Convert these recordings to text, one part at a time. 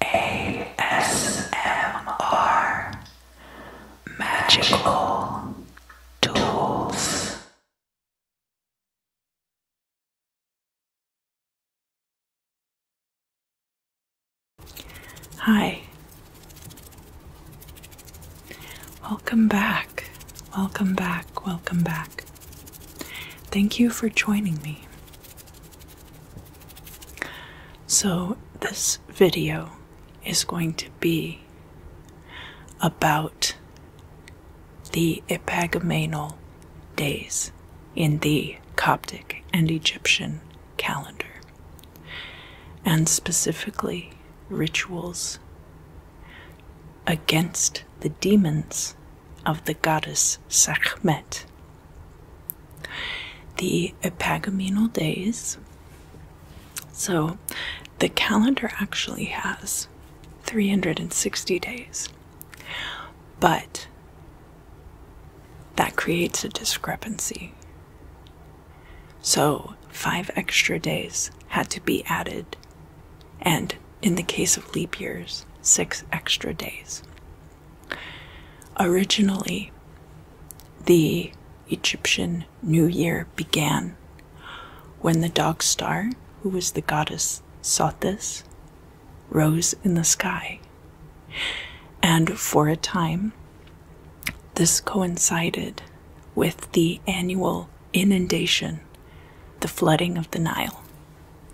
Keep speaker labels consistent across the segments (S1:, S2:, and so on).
S1: ASMR Magical Tools. Hi. Welcome back. Welcome back. Welcome back. Thank you for joining me. So, this video is going to be about the Epagamenal days in the Coptic and Egyptian calendar, and specifically rituals against the demons of the goddess Sekhmet. The epagomenal days. So the calendar actually has 360 days, but that creates a discrepancy. So, five extra days had to be added, and in the case of leap years, six extra days. Originally, the Egyptian New Year began when the dog star, who was the goddess Sothis, rose in the sky. And for a time, this coincided with the annual inundation, the flooding of the Nile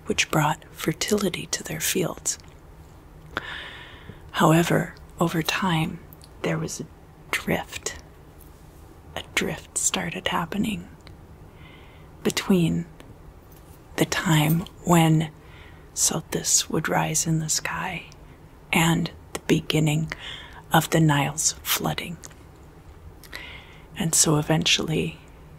S1: which brought fertility to their fields. However, over time, there was a drift. A drift started happening between the time when Sothis would rise in the sky and the beginning of the Nile's flooding. And so eventually,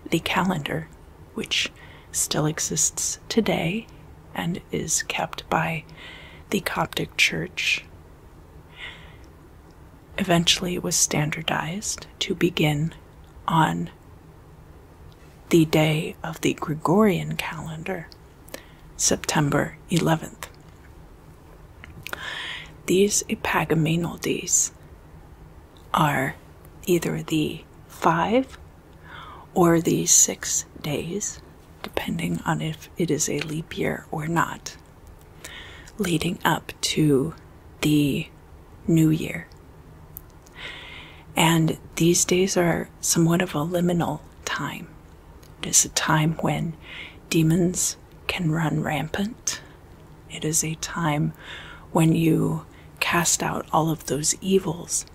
S1: the calendar, which still exists today and is kept by the Coptic Church, eventually was standardized to begin on the day of the Gregorian calendar, September 11th. These epagaminal days are either the five or the six days, depending on if it is a leap year or not, leading up to the new year. And these days are somewhat of a liminal time. It is a time when demons can run rampant, it is a time when you cast out all of those evils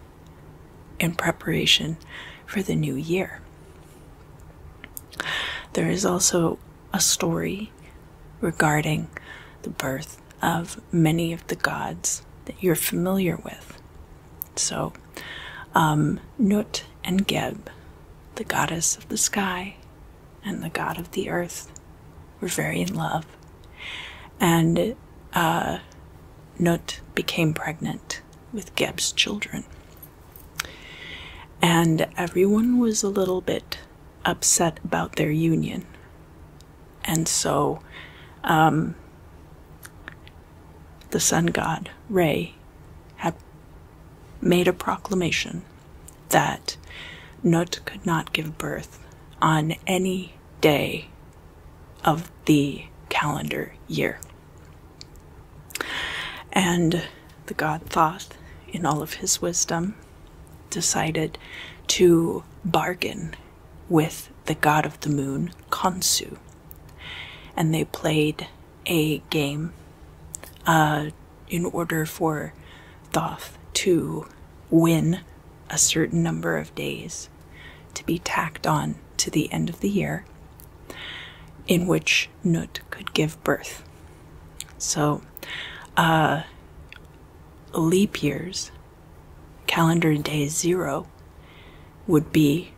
S1: in preparation for the new year. There is also a story regarding the birth of many of the gods that you're familiar with. So, um, Nut and Geb, the goddess of the sky and the god of the earth were very in love, and uh, Nut became pregnant with Geb's children. And everyone was a little bit upset about their union. And so um, the sun god, Ray, had made a proclamation that Nut could not give birth on any day of the calendar year. And the god Thoth, in all of his wisdom, decided to bargain with the god of the moon, Konsu, And they played a game, a uh, in order for Thoth to win a certain number of days to be tacked on to the end of the year, in which Nut could give birth. So, uh, leap years, calendar day zero, would be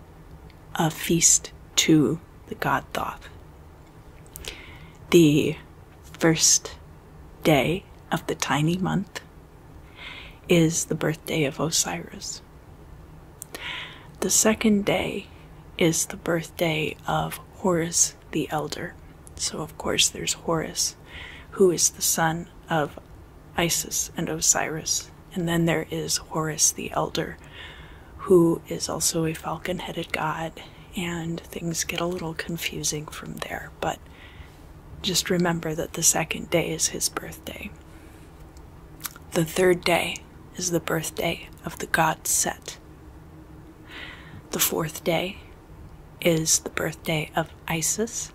S1: a feast to the god Thoth. The first day of the tiny month is the birthday of Osiris. The second day is the birthday of Horus the Elder. So, of course, there's Horus, who is the son of Isis and Osiris. And then there is Horus the Elder, who is also a falcon headed god, and things get a little confusing from there. But just remember that the second day is his birthday. The third day is the birthday of the god Set. The fourth day is the birthday of Isis.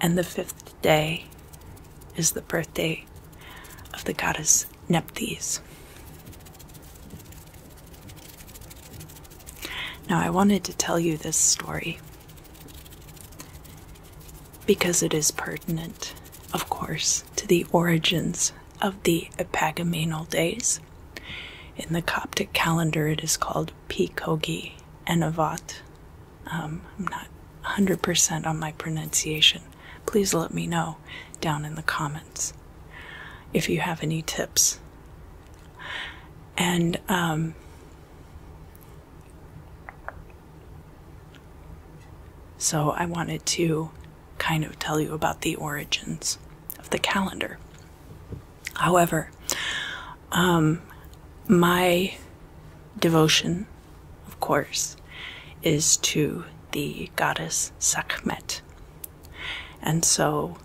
S1: And the fifth day is the birthday of the goddess Nephthys. Now, I wanted to tell you this story because it is pertinent, of course, to the origins of the Epagamenal days. In the Coptic calendar, it is called Pikogi Enavat. Um, I'm not 100% on my pronunciation. Please let me know down in the comments if you have any tips and um, so I wanted to kind of tell you about the origins of the calendar. However, um, my devotion, of course, is to the goddess Sakmet, And so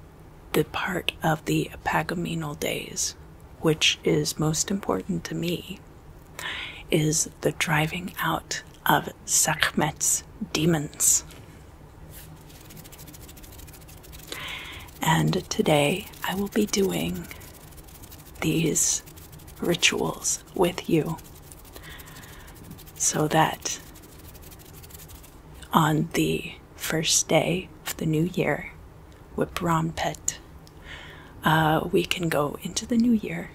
S1: the part of the Apagominal days, which is most important to me, is the driving out of Sakmet's demons. And today I will be doing these rituals with you so that on the first day of the new year whip Brahm Pet, uh, we can go into the new year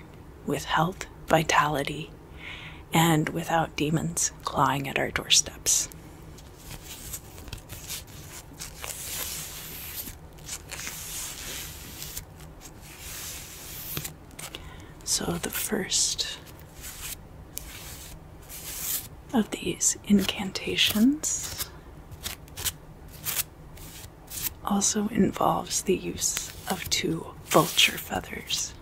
S1: with health, vitality, and without demons clawing at our doorsteps. So, the first of these incantations also involves the use of two vulture feathers.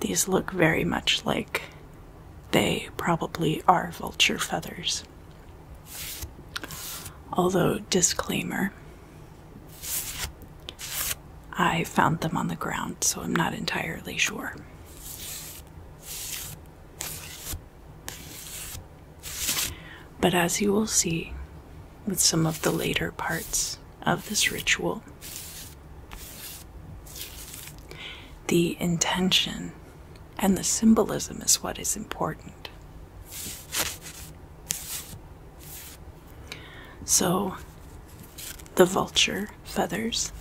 S1: These look very much like they probably are vulture feathers. Although, disclaimer, I found them on the ground, so I'm not entirely sure. But as you will see with some of the later parts of this ritual, the intention and the symbolism is what is important. So, the vulture feathers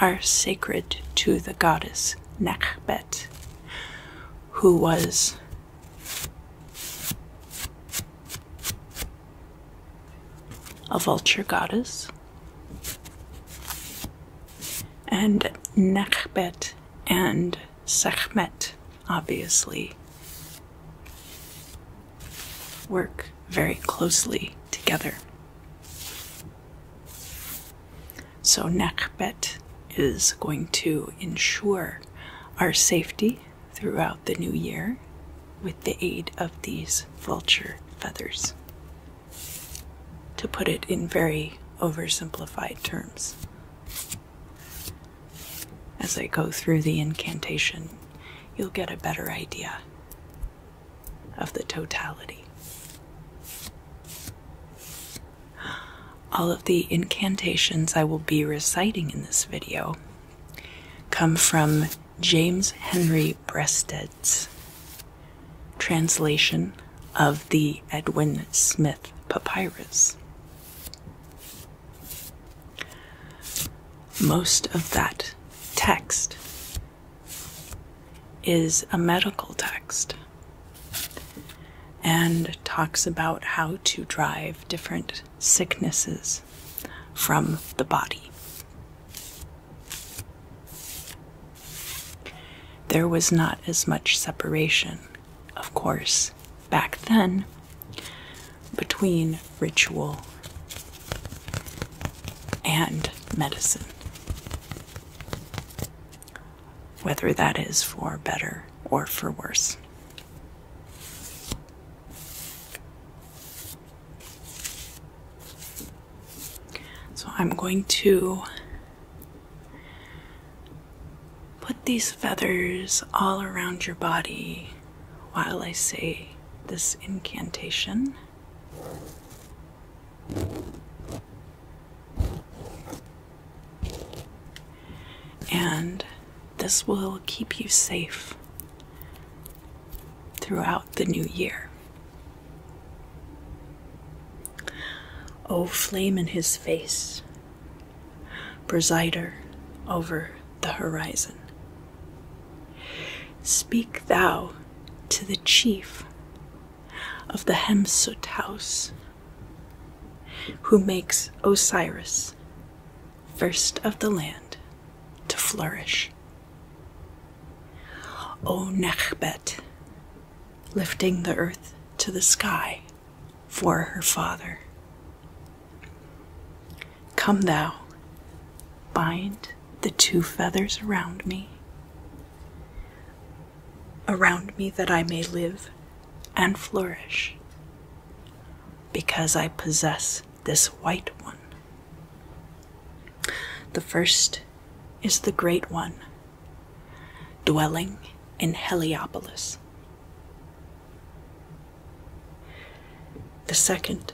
S1: are sacred to the goddess Nekhbet, who was a vulture goddess. And Nekhbet and Sekhmet, obviously, work very closely together. So, Nakbet is going to ensure our safety throughout the new year with the aid of these vulture feathers. To put it in very oversimplified terms, as I go through the incantation, you'll get a better idea of the totality. All of the incantations I will be reciting in this video come from James Henry Breasted's translation of the Edwin Smith Papyrus. Most of that text is a medical text and talks about how to drive different sicknesses from the body. There was not as much separation, of course, back then between ritual and medicine. Whether that is for better or for worse. So I'm going to put these feathers all around your body while I say this incantation. And this will keep you safe throughout the new year. O oh, flame in his face, presider over the horizon. Speak thou to the chief of the Hemsut house, who makes Osiris, first of the land, to flourish. O Nechbet, lifting the earth to the sky for her father. Come, thou, bind the two feathers around me, around me that I may live and flourish, because I possess this white one. The first is the Great One, dwelling in Heliopolis. The second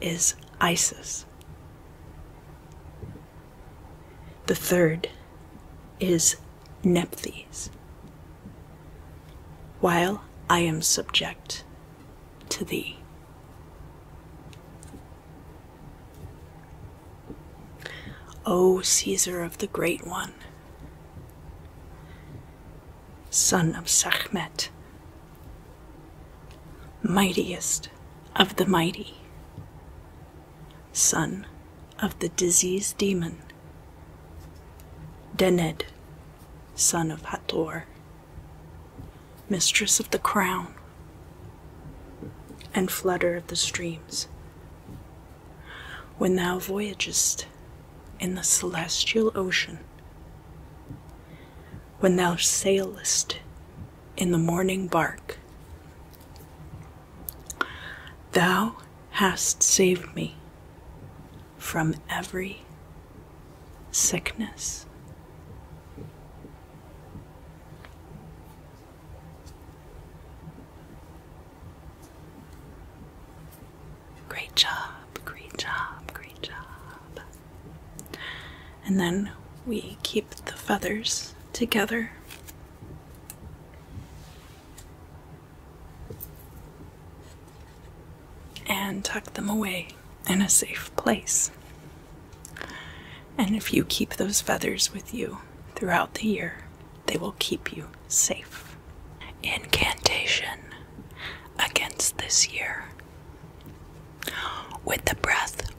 S1: is Isis. The third is Nephthys. While I am subject to thee. O Caesar of the Great One, son of Sahmet, mightiest of the mighty, son of the disease demon, Dened, son of Hator, mistress of the crown, and flutter of the streams. When thou voyagest in the celestial ocean, when thou sailest in the morning bark. Thou hast saved me from every sickness. Great job, great job, great job and then we keep the feathers together. And tuck them away in a safe place. And if you keep those feathers with you throughout the year, they will keep you safe. Incantation against this year. With the breath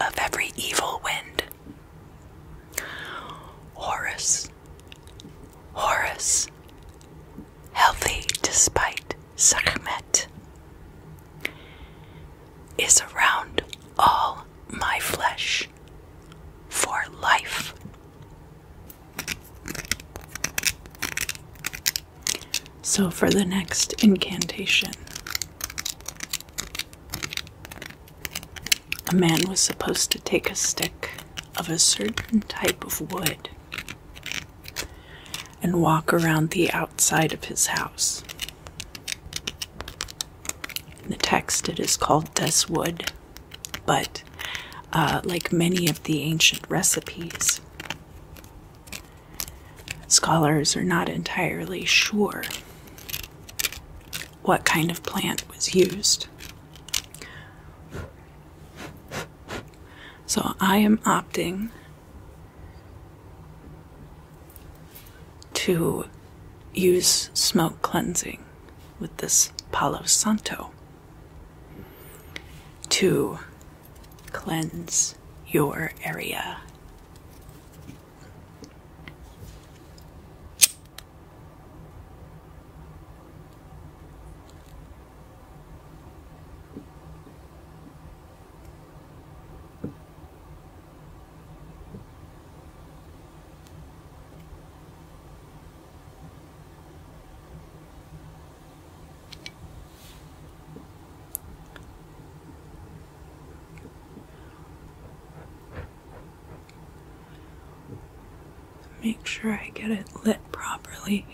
S1: of every evil wind, Horus, Horus, healthy despite Sakmet, is around all my flesh for life so, for the next incantation, a man was supposed to take a stick of a certain type of wood and walk around the outside of his house. In The text it is called This Wood. But uh, like many of the ancient recipes, scholars are not entirely sure what kind of plant was used. So I am opting to use smoke cleansing with this Palo Santo to cleanse your area. Make sure I get it lit properly.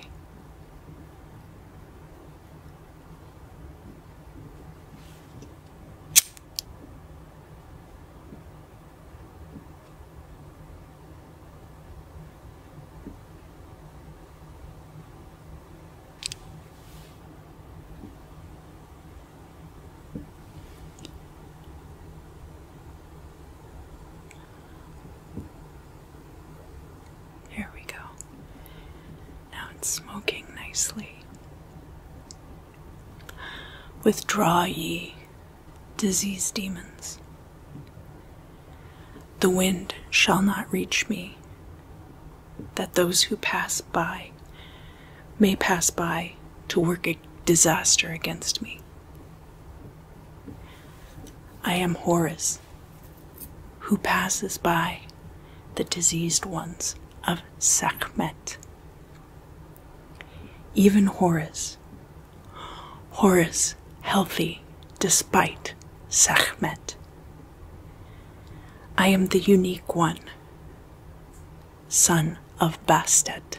S1: Here we go. Now it's smoking nicely. Withdraw ye disease demons. The wind shall not reach me, that those who pass by may pass by to work a disaster against me. I am Horus, who passes by the diseased ones of Sakmet. Even Horus, Horace healthy despite Sahmet. I am the unique one, son of Bastet.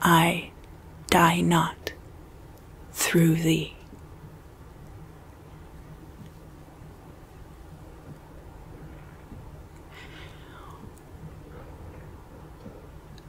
S1: I die not through thee.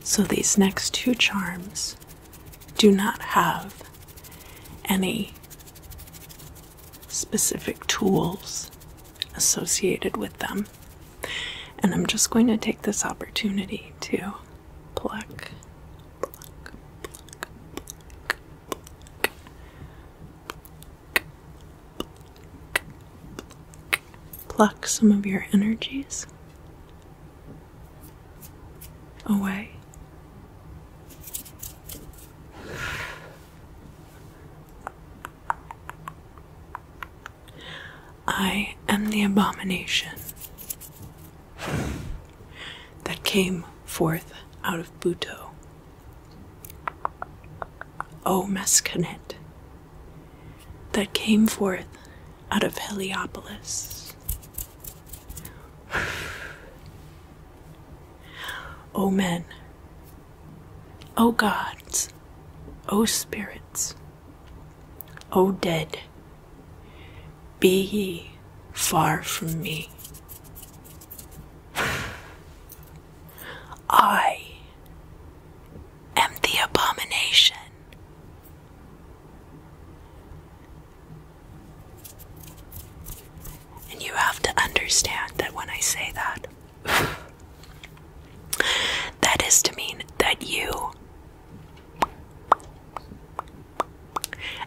S1: So these next two charms do not have any specific tools associated with them. And I'm just going to take this opportunity to pluck, pluck, some of your energies away. I am the abomination that came forth out of Buto. O Mescanet, that came forth out of Heliopolis. O men, O gods, O spirits, O dead, be ye far from me. I am the abomination and you have to understand that when I say that, that is to mean that you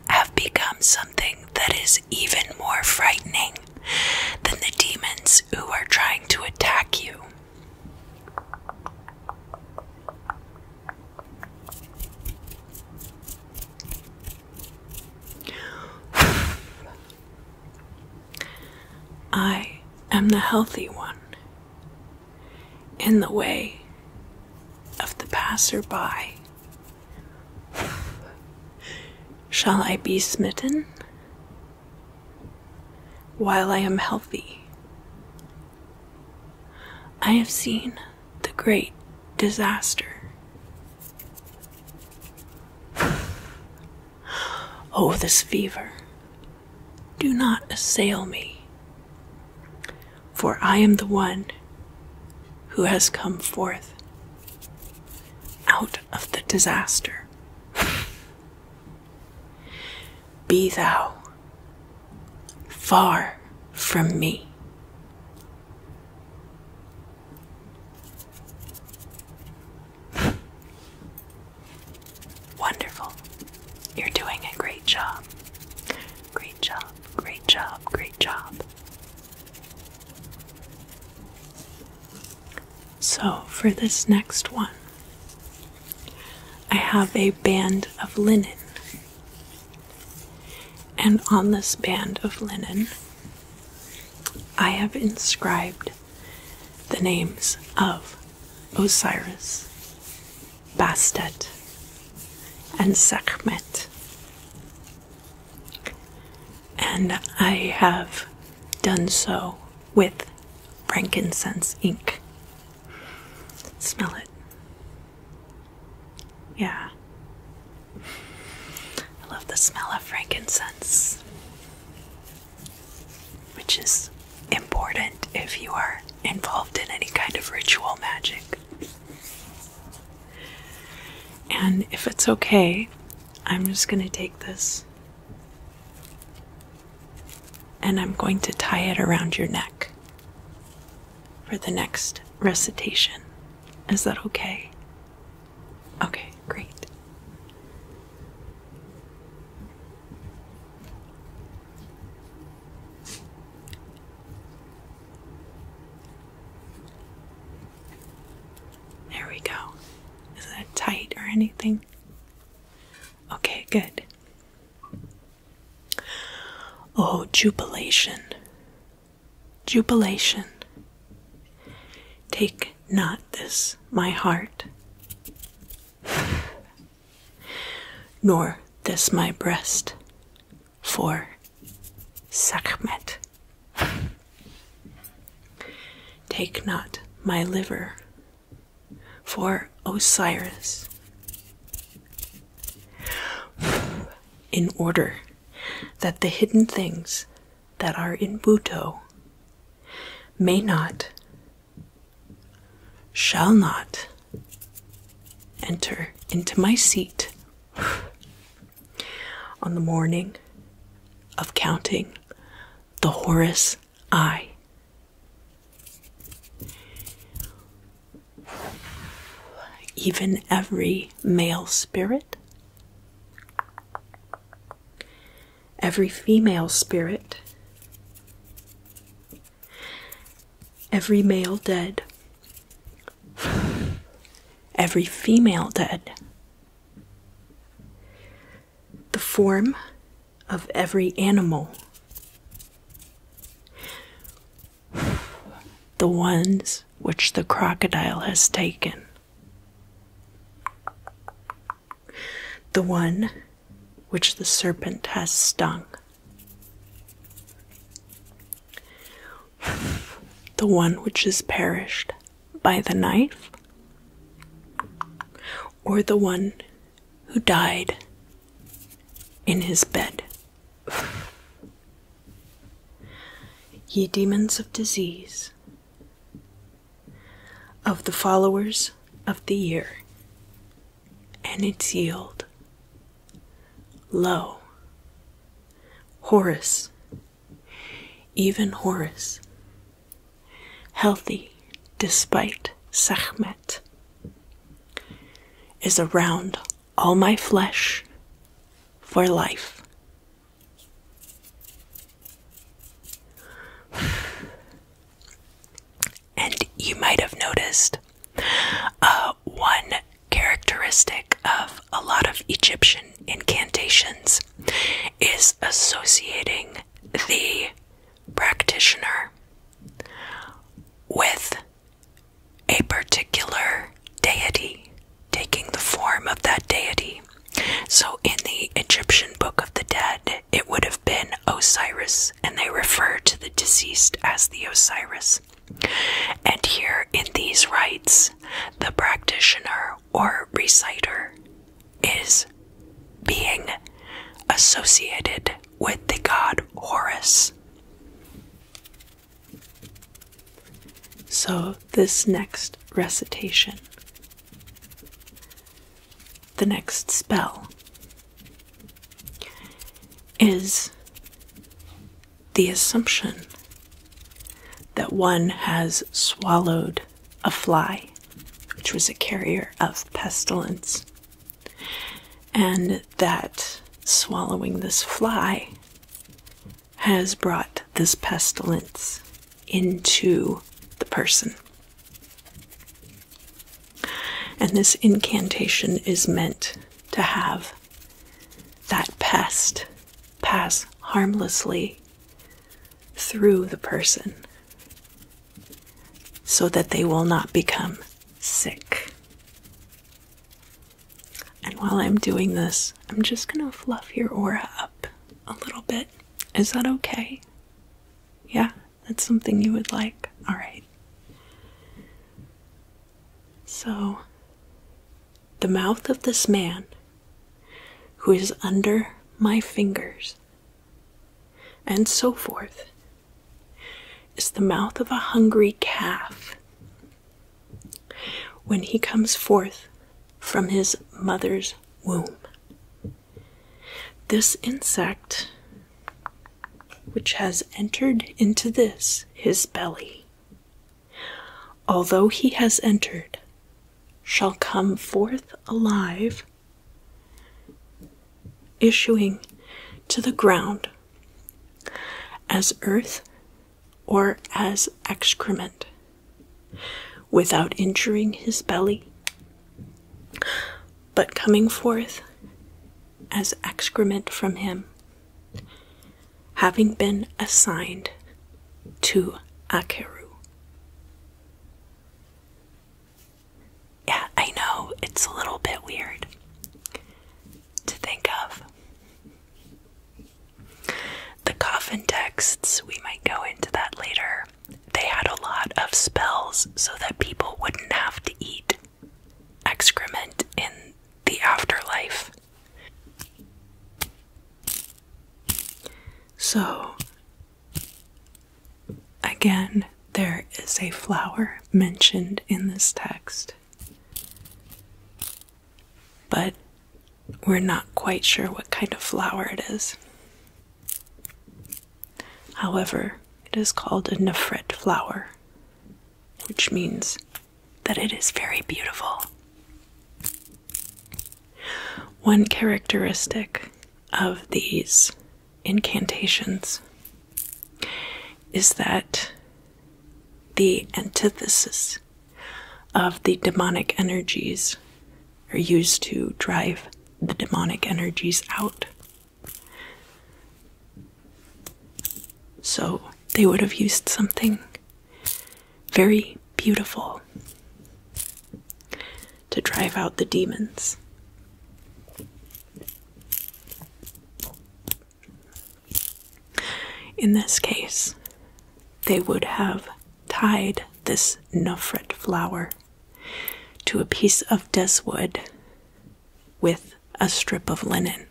S1: have become something that is even more frightening than the demons who are trying to attack you. I am the healthy one in the way of the passerby. Shall I be smitten while I am healthy? I have seen the great disaster. Oh, this fever, do not assail me, for I am the one who has come forth out of the disaster. Be thou far from me. Wonderful. You're doing a great job. Great job, great job, great job. So, for this next one, I have a band of linen and on this band of linen, I have inscribed the names of Osiris, Bastet, and Sekhmet. And I have done so with frankincense ink. Smell it. Yeah. I love the smell of frankincense, which is important if you are involved in any kind of ritual magic. And if it's okay, I'm just going to take this and I'm going to tie it around your neck for the next recitation. Is that okay? Okay, great. There we go. Is that tight or anything? Okay, good. O oh, jubilation, jubilation. Take not this, my heart, nor this, my breast, for Sakmet. Take not my liver, for Osiris in order that the hidden things that are in Buto may not, shall not enter into my seat on the morning of counting the Horus Eye. Even every male spirit, every female spirit, every male dead, every female dead, the form of every animal the ones which the crocodile has taken. The one which the serpent has stung. The one which is perished by the knife, or the one who died in his bed. Ye demons of disease, of the followers of the year and its yield, lo, Horace, even Horace, healthy despite Sahmet, is around all my flesh for life. And you might have noticed a uh, one characteristic of a lot of Egyptian incantations is associating the practitioner with a particular deity, taking the form of that deity. So in the Egyptian Book of the Dead, it would have been Osiris, and they refer to the deceased as the Osiris. And here in these rites, the practitioner or reciter is being associated with the god Horus. So, this next recitation, the next spell, is the assumption that one has swallowed a fly, which was a carrier of pestilence and that swallowing this fly has brought this pestilence into the person. And this incantation is meant to have that pest pass harmlessly through the person so that they will not become sick. And while I'm doing this, I'm just going to fluff your aura up a little bit. Is that okay? Yeah, that's something you would like. All right. So, the mouth of this man who is under my fingers, and so forth, is the mouth of a hungry calf. When he comes forth from his mother's womb, this insect, which has entered into this his belly, although he has entered, shall come forth alive, issuing to the ground as earth or as excrement, without injuring his belly, but coming forth as excrement from him, having been assigned to Akeru. Yeah, I know, it's a little bit weird to think of. The coffin texts, we might go into that later, they had a lot of spells so that people wouldn't have to eat excrement in the afterlife. So, again, there is a flower mentioned in this text. But we're not quite sure what kind of flower it is. However, it is called a nephret flower, which means that it is very beautiful. One characteristic of these incantations is that the antithesis of the demonic energies are used to drive the demonic energies out. So they would have used something very beautiful to drive out the demons. In this case, they would have tied this nufret flower to a piece of wood with a strip of linen.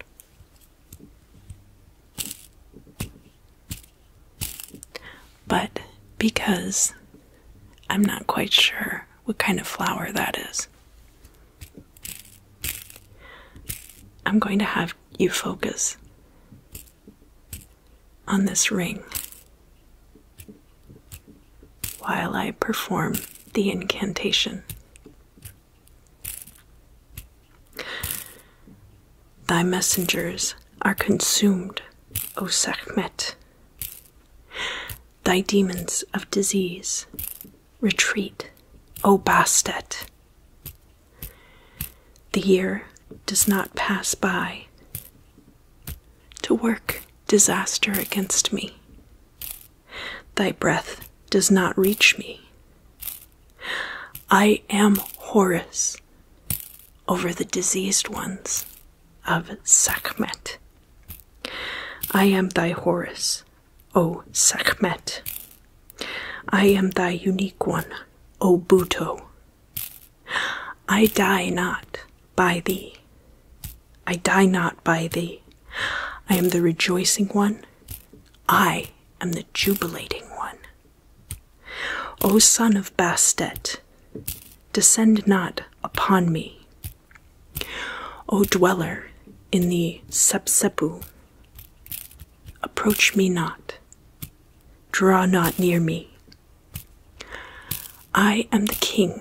S1: But because I'm not quite sure what kind of flower that is, I'm going to have you focus on this ring while I perform the incantation. Thy messengers are consumed, O Sekhmet. Thy demons of disease retreat, O Bastet. The year does not pass by to work disaster against me. Thy breath does not reach me. I am Horus over the diseased ones of Sakmet. I am thy Horus O Sekhmet, I am thy unique one, O Buto, I die not by thee. I die not by thee. I am the rejoicing one. I am the jubilating one. O son of Bastet, descend not upon me. O dweller in the Sepsepu Approach me not, draw not near me. I am the King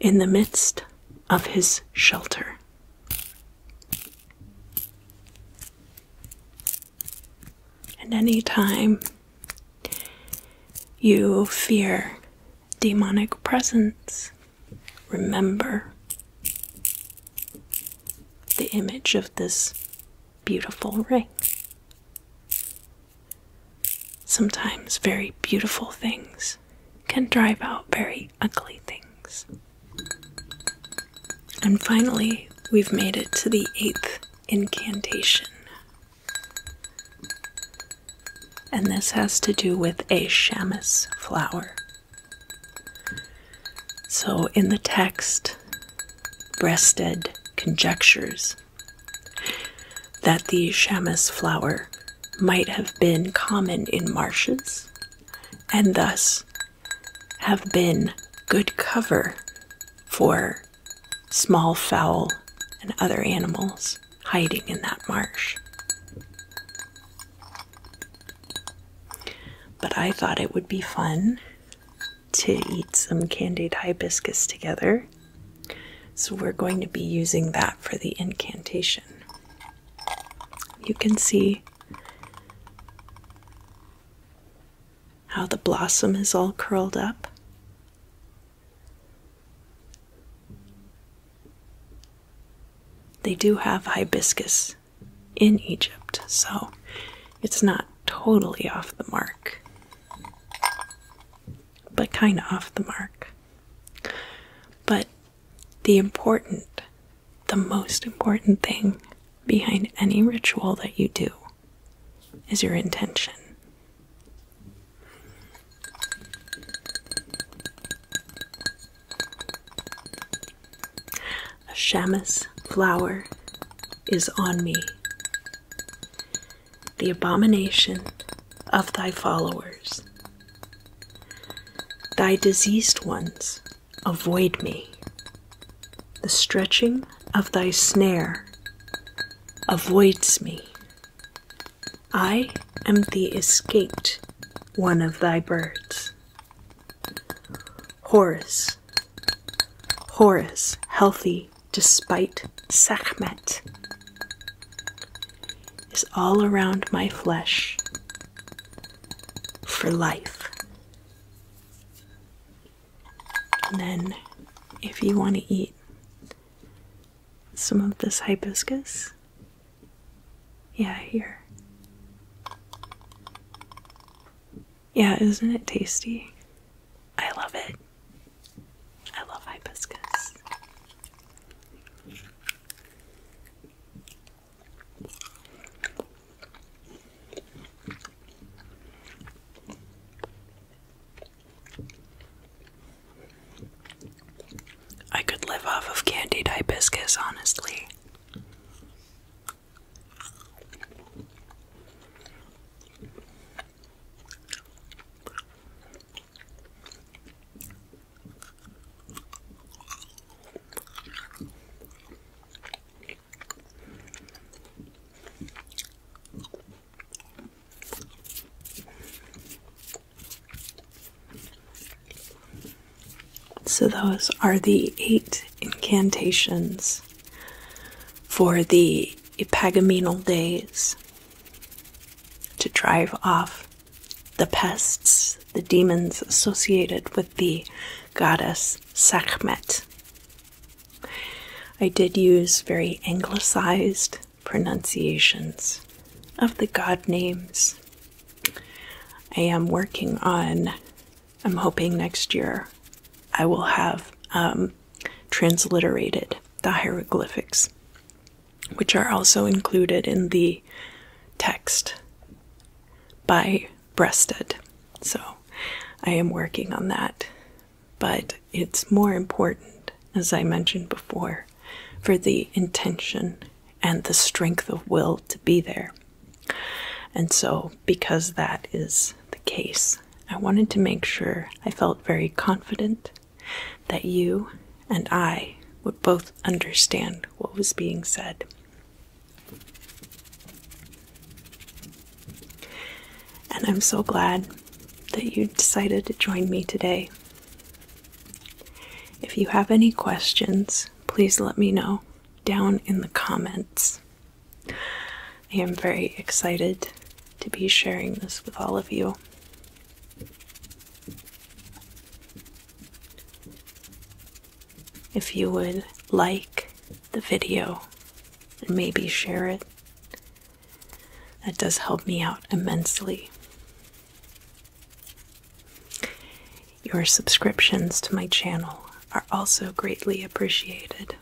S1: in the midst of his shelter. And any time you fear demonic presence, remember the image of this beautiful ring. Sometimes very beautiful things can drive out very ugly things. And finally, we've made it to the eighth incantation. And this has to do with a shamus flower. So in the text, Breasted conjectures that the shamus flower might have been common in marshes and thus have been good cover for small fowl and other animals hiding in that marsh. But I thought it would be fun to eat some candied hibiscus together. So we're going to be using that for the incantation. You can see how the blossom is all curled up. They do have hibiscus in Egypt, so it's not totally off the mark, but kind of off the mark. But the important, the most important thing behind any ritual that you do is your intention. A shamus flower is on me. The abomination of thy followers. Thy diseased ones avoid me. The stretching of thy snare avoids me. I am the escaped one of thy birds. Horus, Horus, healthy despite Sekhmet, is all around my flesh for life. And then, if you want to eat some of this hibiscus, yeah, here. Yeah, isn't it tasty? I love it. I love hibiscus. I could live off of candied hibiscus, honestly. So, those are the eight incantations for the epigaminal days to drive off the pests, the demons associated with the goddess Sakmet. I did use very anglicized pronunciations of the god names I am working on, I'm hoping next year I will have um, transliterated the hieroglyphics, which are also included in the text by Breasted. So I am working on that. But it's more important, as I mentioned before, for the intention and the strength of will to be there. And so, because that is the case, I wanted to make sure I felt very confident that you and I would both understand what was being said. And I'm so glad that you decided to join me today. If you have any questions please let me know down in the comments. I am very excited to be sharing this with all of you. If you would like the video and maybe share it, that does help me out immensely. Your subscriptions to my channel are also greatly appreciated.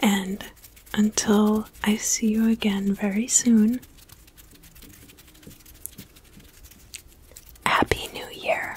S1: And until I see you again very soon, Happy New Year!